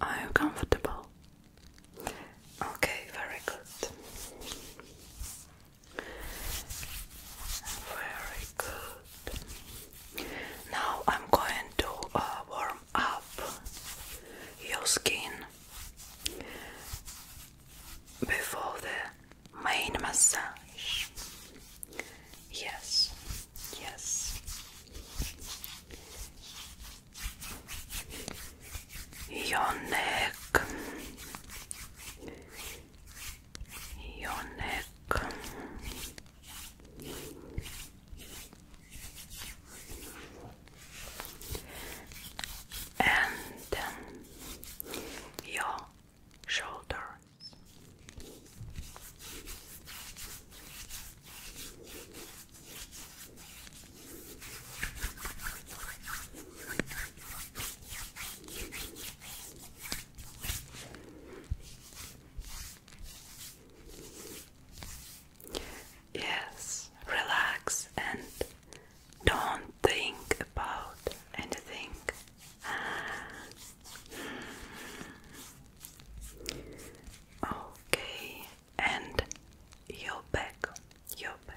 Are you comfortable? Okay, very good. Very good. Now I'm going to uh, warm up your skin before the main massage. Yes, yes. Your neck. Your neck. And then um, your shoulders. Yes, relax and don't think about anything. Okay, and your back, your back.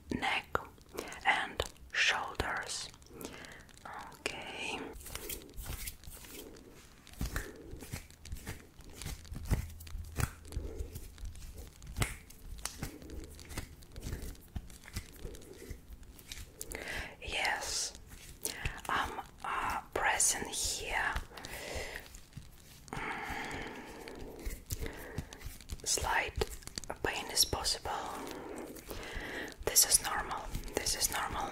neck and shoulders. Okay. Yes, I'm uh, pressing here Slight pain is possible. This is normal. This is normal.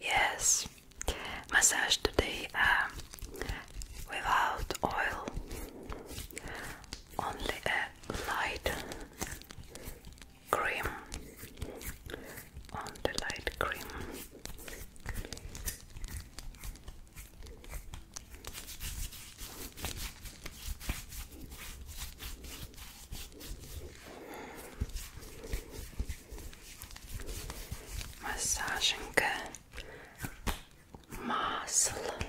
Yes, massage today um, without oil, only a light cream on the light cream Masajınka muscle.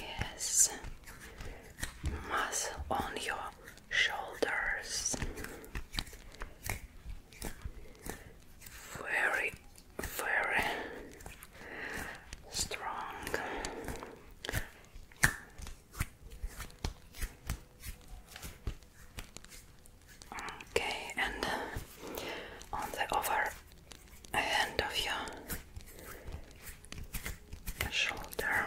Yes. Muscle on your shoulders. Very, very strong. Okay, and uh, on the other end of your shoulder.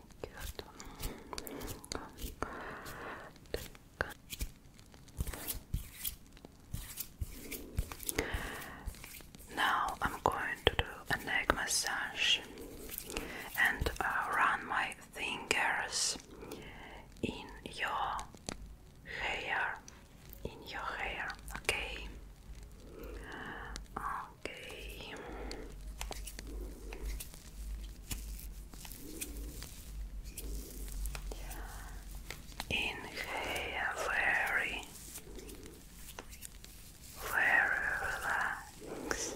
Now I'm going to do a neck massage and uh, run my fingers in your hair. In your hair, okay? Okay. Inhale very, very relaxed.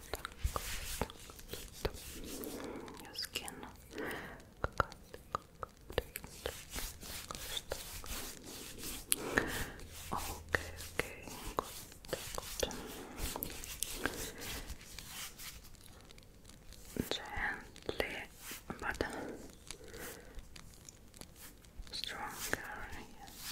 your skin. Okay, okay, Gently, but stronger. Yes.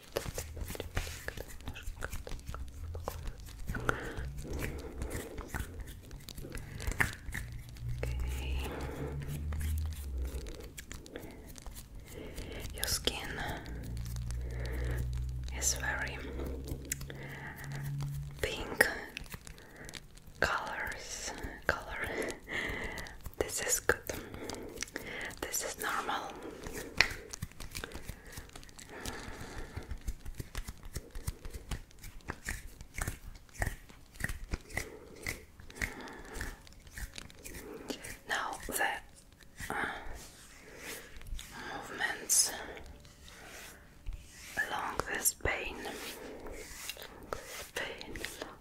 Your skin is very pink colors color. This is good. This is normal. Now the uh, movements along this vein,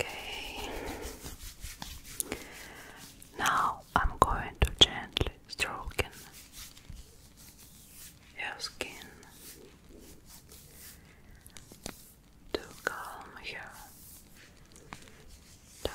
Okay. Now I'm going to gently stroke your skin to calm you down.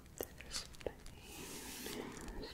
There's pain, there's pain. There's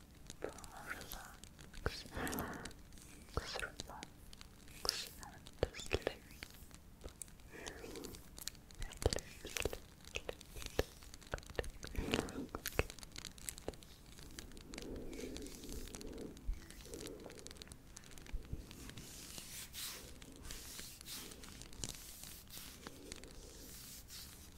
relax, relax, relax, and sleep. Relax.